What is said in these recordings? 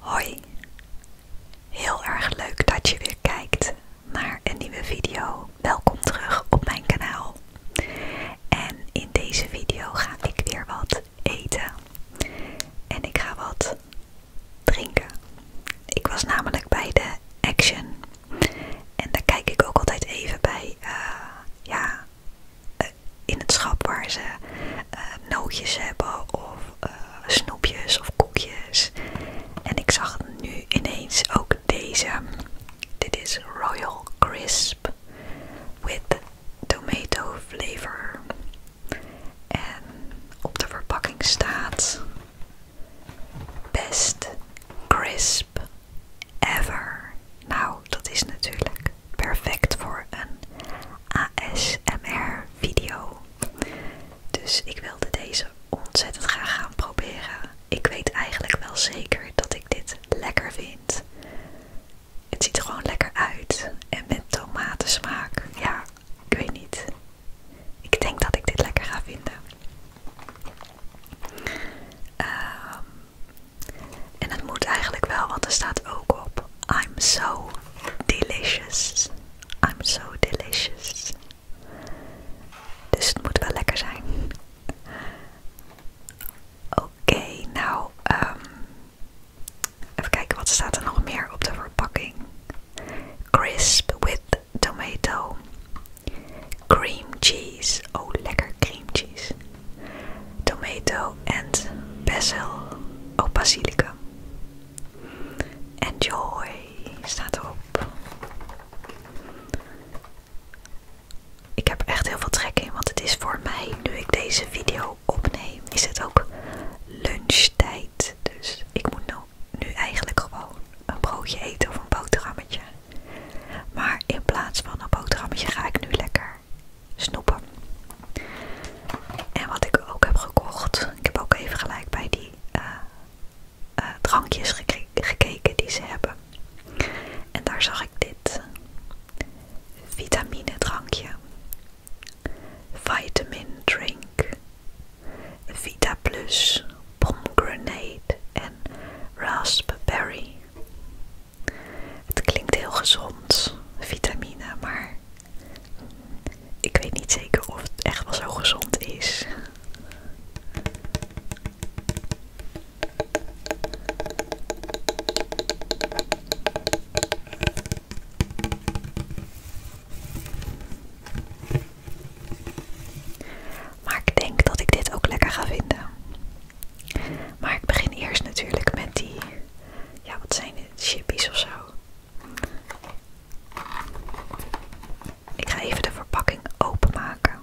Hoi, heel erg leuk dat je weer kijkt naar een nieuwe video. Welkom terug op mijn kanaal. En in deze video ga ik weer wat eten. En ik ga wat drinken. Ik was namelijk bij de Action. En daar kijk ik ook altijd even bij. Eh, ja, eh, in het schap waar ze eh, nootjes hebben of eh, snoepjes of koekjes. En ik zag nu ineens ook deze. Dit is Royal Crisp with tomato flavor. En op de verpakking staat best crisp ever. Nou, dat is natuurlijk perfect voor een ASMR video. Dus ik wilde deze ontzettend graag gaan proberen. Ik weet eigenlijk wel zeker dat ik dit lekker vind. Het ziet gewoon lekker uit. En met tomatensmaak, ja, ik weet niet. Ik denk dat ik dit lekker ga vinden. Ehm en het moet eigenlijk wel, want er staat ook op: I'm so delicious. I'm so delicious. Dus het moet wel lekker zijn. Oké, nou, ehm, even kijken wat staat er nog meer op de verpakking. Crisp with tomato. Cream cheese. Oh, lekker cream cheese tomato en basil of basilicum. Enjoy staat erop. Ik heb echt heel veel trek in, want het is voor mij, nu ik deze video opneem, is het ook lunchtijd. Dus ik moet nou nu eigenlijk gewoon een broodje eten of een boterhammetje. Maar in plaats van een boterhammetje ga ik nu lekker snoepen. En wat ik ook heb gekocht, ik heb ook even gelijk bij die eh, eh, drankjes gekeken die ze hebben. En daar zag ik dit vitamine drankje, vitamin drink, Vita Plus, pomegranate en raspberry. Het klinkt heel gezond, vitamine, maar ik weet niet zeker of het echt wel zo gezond is. Maar ik denk dat ik dit ook lekker ga vinden. Maar ik begin eerst natuurlijk met die, ja wat zijn dit, chippies of zo. Ik ga even de verpakking openmaken.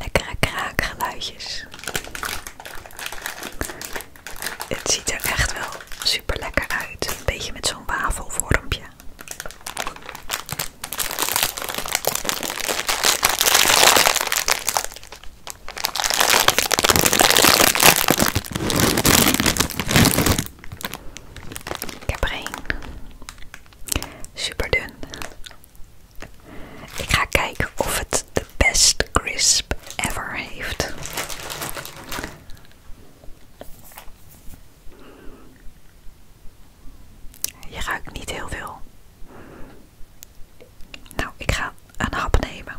Lekkere kraakgeluidjes. Het ziet er echt wel super lekker uit. Een beetje met zo'n wafelvormpje. Ik heb er Ik ga kijken of het de best crisp ever heeft. Je ruikt niet heel veel. Nou, ik ga een hap nemen.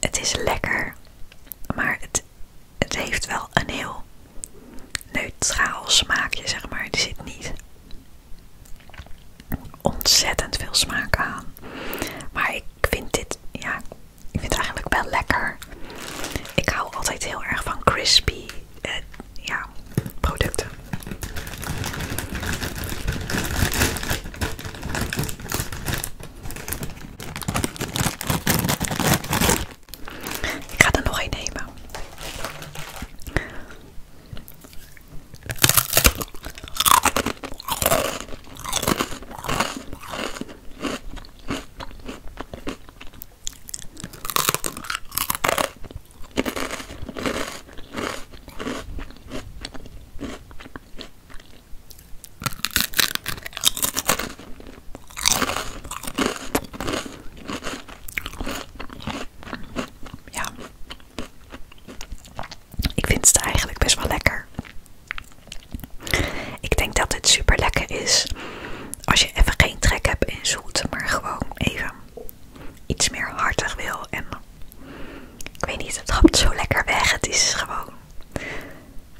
Het is lekker, maar het, heeft wel een heel neutraal smaakje, zeg maar. Er zit niet ontzettend veel smaak aan. Maar ik vind dit, ja, ik vind eigenlijk wel lekker. Ik hou altijd heel erg van crispy eh, ja, producten. Ik ga er nog één nemen. Ja, ik vind het eigenlijk best wel lekker. Ik denk dat het super lekker is als je even geen trek hebt in zoet, maar gewoon even iets meer hartig wil. En ik weet niet, het trapt zo lekker weg. Het is gewoon.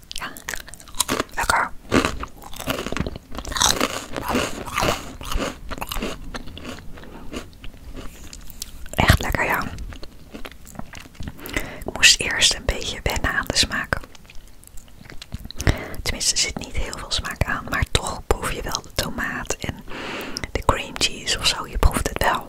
Ja, lekker. Echt lekker, ja. Ik moest eerst een beetje wennen aan de smaak. Tenminste, er zit niet heel veel smaak aan, maar toch proef je wel de tomaat en de cream cheese of zou Je proeft het wel.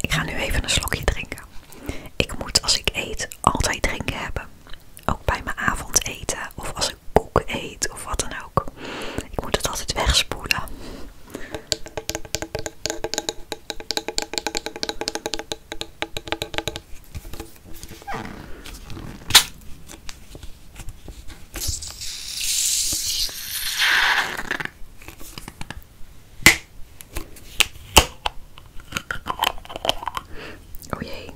Ik ga nu even een slokje drinken. Ik moet als ik eet altijd drinken hebben. Ook bij mijn avondeten of als ik koek eet of wat dan ook. Ik moet het altijd wegspoelen. Oh jee.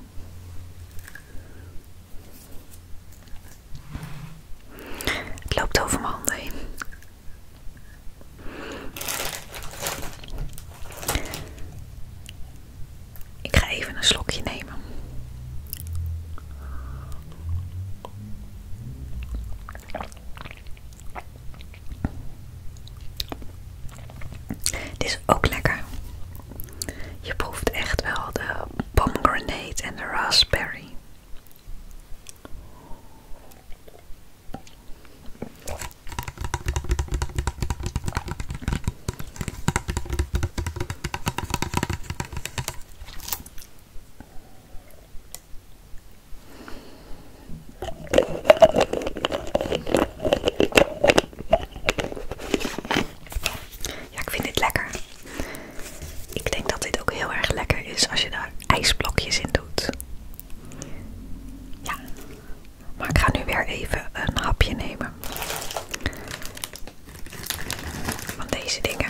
Het loopt over mijn handen heen. Ik ga even een slokje nemen. Dit is ook lekker. Je proeft echt wel de pomegranate en de raspberry. Ja, ik vind dit lekker. Ik denk dat dit ook heel erg lekker is als je daar ijsblokjes in doet. Ja, maar ik ga nu weer even een hapje nemen van deze dingen.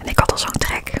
En ik had al zo'n trek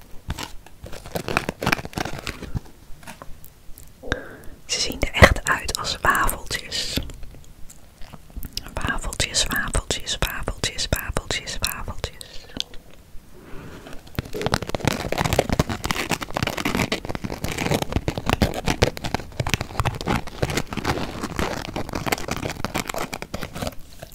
Ze zien er echt uit als wafeltjes. Wafeltjes, wafeltjes, wafeltjes, wafeltjes, wafeltjes.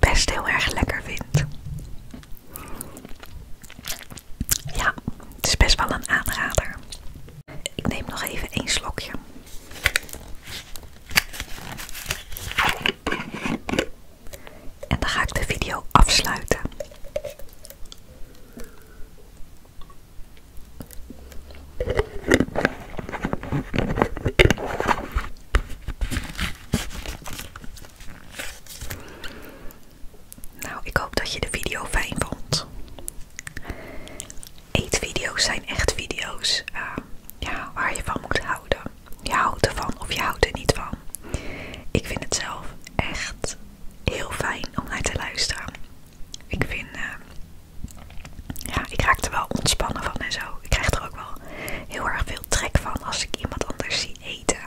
best heel erg lekker vind. Ja, het is best wel een aanrader. Ik neem nog even één slokje. En dan ga ik de video afsluiten. Nou, ik hoop dat je de video fijn vond. Eetvideo's zijn echt video's eh, ja, waar je van moet houden. Je houdt ervan of je houdt er niet van. Ik vind het zelf echt heel fijn om naar te luisteren. Ik vind eh, ja, ik raak er wel ontspannen van en zo. Ik krijg er ook wel heel erg veel trek van als ik iemand anders zie eten.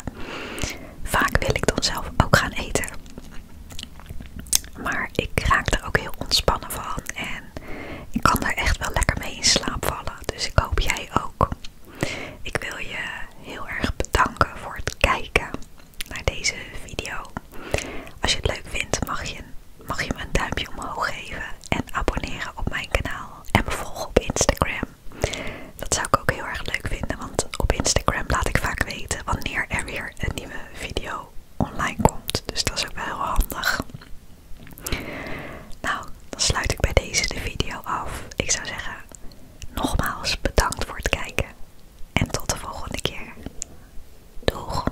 Vaak wil ik dan zelf ook gaan eten. Maar ik raak er ook heel ontspannen van en ik kan daar echt wel lekker mee in slaap vallen. Dus ik hoop jij ook. Ik wil je heel erg bedanken voor het kijken naar deze video. Als je het leuk vindt, mag je mag je me een duimpje omhoog geven en abonneren op mijn kanaal en me volgen op Instagram. Dat zou ik ook heel erg leuk vinden, want op Instagram laat ik vaak weten wanneer er weer een nieuwe video online komt. Dus dat is ook wel heel handig. Nou, dan sluit ik bij deze de video af. Ik zou zeggen, nogmaals bedankt voor het kijken en tot de volgende keer. Doeg!